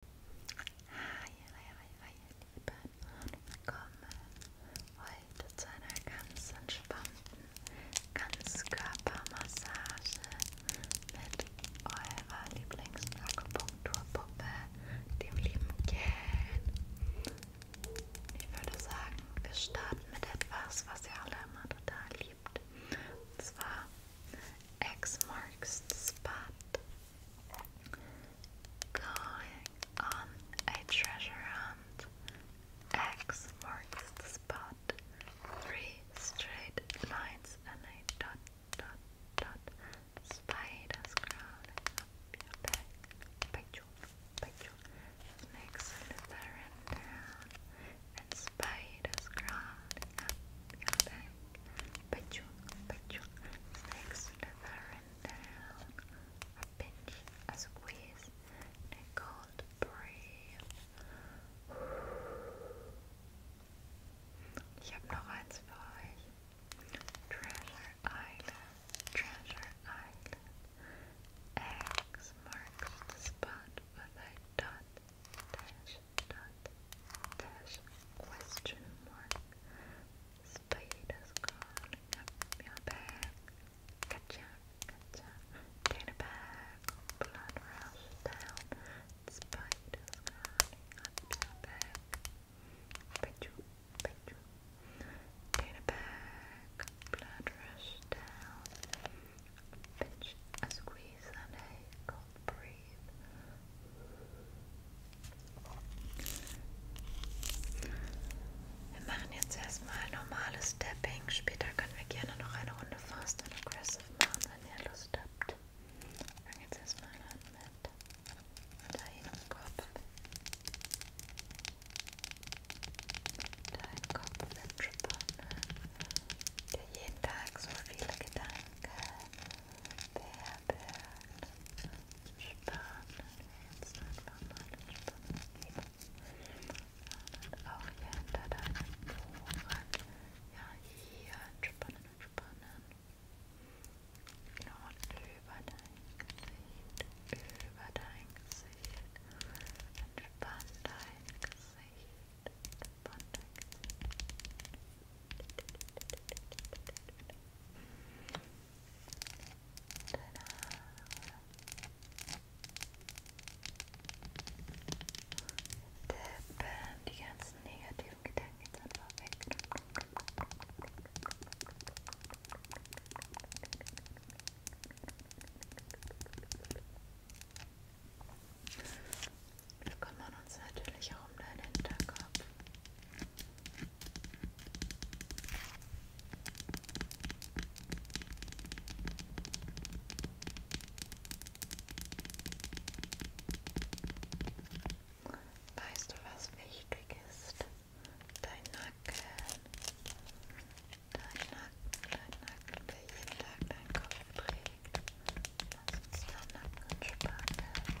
Hi, hi, hi, hi, ihr Lieben und willkommen heute zu einer ganz entspannten Ganzkörpermassage mit eurer Lieblingsakupunkturpuppe, dem lieben Ken. Ich würde sagen, wir starten mit etwas, was ihr alle immer total liebt. Und zwar X marks the spot. Going on a treasure hunt. X marks the spot. Three straight lines and a dot dot dot. Spiders crawling up your back. Picture, picture. Snakes slithering down. And spiders crawling up your back, pitch, pitch, sticks further and a pinch, a squeeze, a cold breathe. Ich habe noch Treasure Island, Treasure Island. X marks the spot with a dot dot dash question mark Spider's crawling up your back Gotcha, gotcha Get back Blood rush down Spider's crawling up your back Pechu, pechu Get back Blood rush down Pitch squeeze and a breathe. Wir machen jetzt erstmal normales Stepping. Später können wir gerne noch eine Runde Fast und Aggressive machen, wenn ihr Lust habt. Dann jetzt erstmal an mit deinem Kopf. Dein Kopf wird schon der jeden Tag so viele Gedanken und auch hinter deinen Poren. Ja, hier entspannen, entspannen. Und über dein Gesicht, über dein Gesicht. Entspann dein Gesicht, entspann Tippen, die ganzen negativen Gedanken jetzt einfach weg. Wir kümmern uns natürlich auch um deinen Hinterkopf. Weißt du, was wichtig ist? Dein Nacken. Dein Nacken, dein Nacken, der jeden Tag deinen Kopf trägt. Lass uns deinen Nacken entspannen.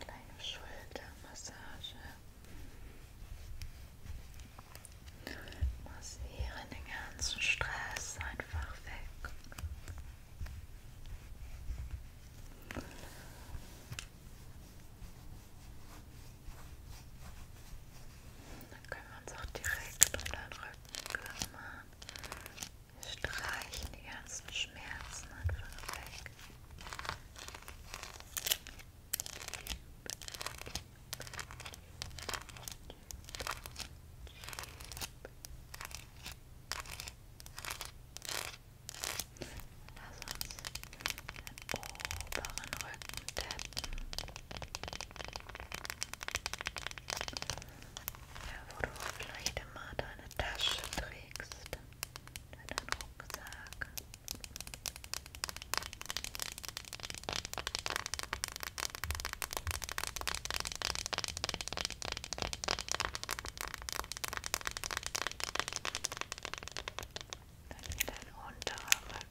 kleine Schultermassage. Massiere den ganzen Stress einfach weg. Dann können wir uns auch direkt um den Rücken kümmern. Wir streichen die ganzen Schmerzen einfach weg. Lass uns den oberen Rücken tappen. Ja, wo du vielleicht immer deine Tasche trägst deinen Rucksack. Dann hier dein unterer Rücken.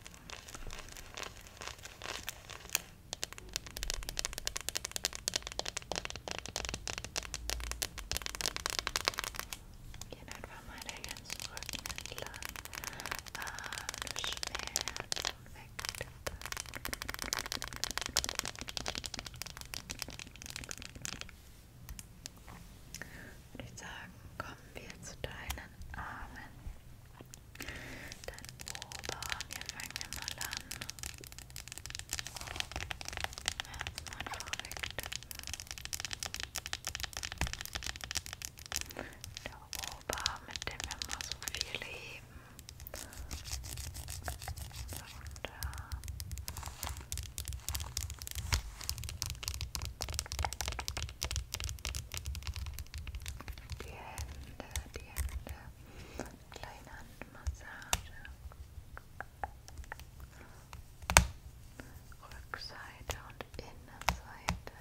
Gehen einfach mal den ganzen Rücken entlang. Arme, Schmerzen weg. Würde ich sagen, kommen wir zu deinen Armen. Dein Oberarm, hier fangen wir mal an. Schmerzen einfach wegtippen. Der Ober, mit dem wir immer so viel heben. Und, äh, die Hände, die Hände. Kleine Handmassage. Rückseite und Innenseite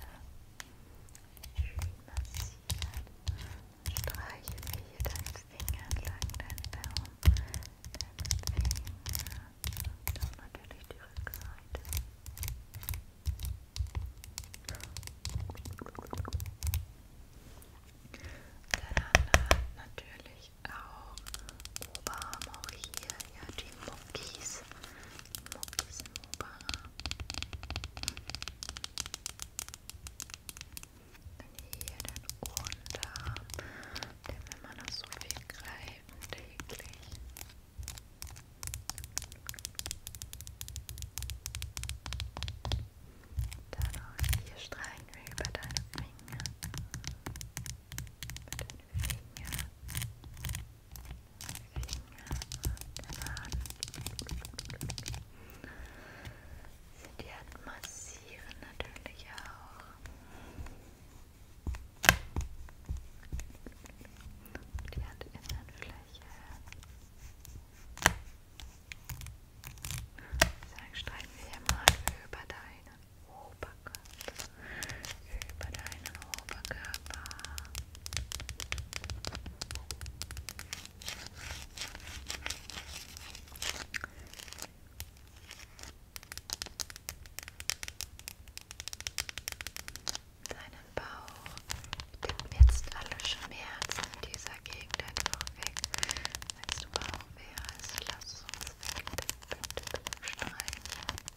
schön massieren. Streiche mir hier deinen Finger entlang, deinen Daumen, deinen Finger und auch natürlich die Rückseite. Deine andere Hand natürlich ich auch. Oba haben auch hier ja die Muckis. Muckis in Oba. Dann hier den Unterarm. Denn wenn man das so viel greifen täglich. Dann auch hier streichen wir über deine Finger mit den Fingern, Finger und den Hand. Die Hand massieren natürlich auch. Die Handinnenfläche. Sagen, streichen wir hier mal über deine Oberkörper, über deinen Oberkörper. Deinen Bauch. Nimm jetzt alle Schmerzen in dieser Gegend einfach weg. Wenn du Bauch wärst, lass uns weg. Bitte, bitte, bitte streichen.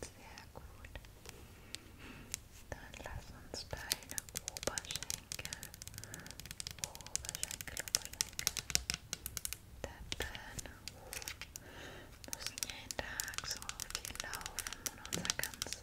Sehr gut. Dann lass uns deine Oberschenkel, Oberschenkel, Oberschenkel, tappen. Wir jeden Tag so viel laufen und unser ganzes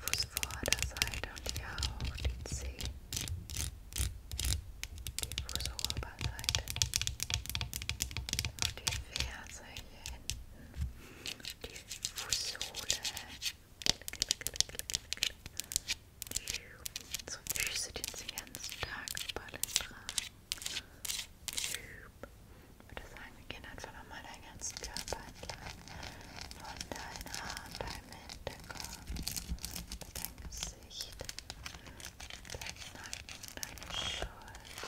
Fuß Vorderseite und ja auch den Zeh, die Fußoberseite auf die Ferse hinten, die Fußsohle, so Füße, den sie den ganzen Tag überall tragen. Ich würde sagen, wir gehen einfach nochmal deinen ganzen Körper entlang. Von deinen Haaren, deinem Hinterkopf, dein Gesicht, dein Nacken, deine Schulter, deinen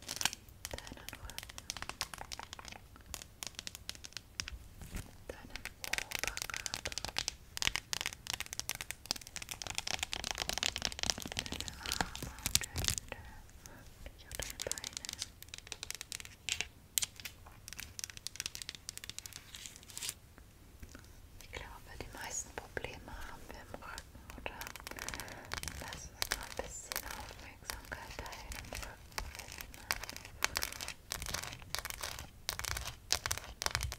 Rücken, deinen Oberkörper. Deine Arme und Hände, wirklich auch deine Beine. Ich glaube, die meisten Probleme haben wir im Rücken, oder? Lass uns mal ein bisschen Aufmerksamkeit dahin im Rücken finden. Die Schmerzen weg.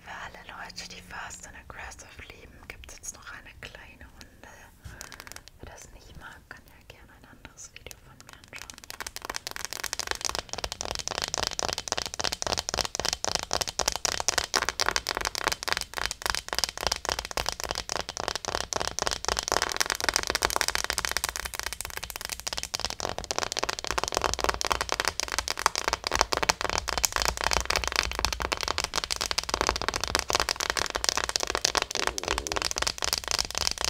Für alle Leute, die Fast and Aggressive lieben, gibt es jetzt noch eine kleine Runde. Wer das nicht mag, mag, kann er gerne ein anderes Video von mir anschauen.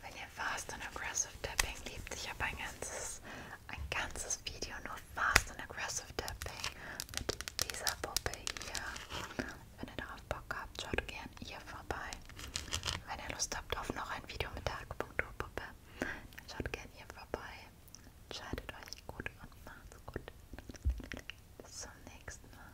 Wenn ihr Fast und Aggressive Tapping liebt, ich habe ein ganzes, ein ganzes Video nur Fast und Aggressive Tapping mit dieser Puppe hier. Wenn ihr darauf Bock habt, schaut gern hier vorbei. Wenn ihr Lust habt auf noch ein Video mit der Akupunkturpuppe, dann schaut gern hier vorbei. Entscheidet euch gut und macht's gut. Bis zum nächsten Mal.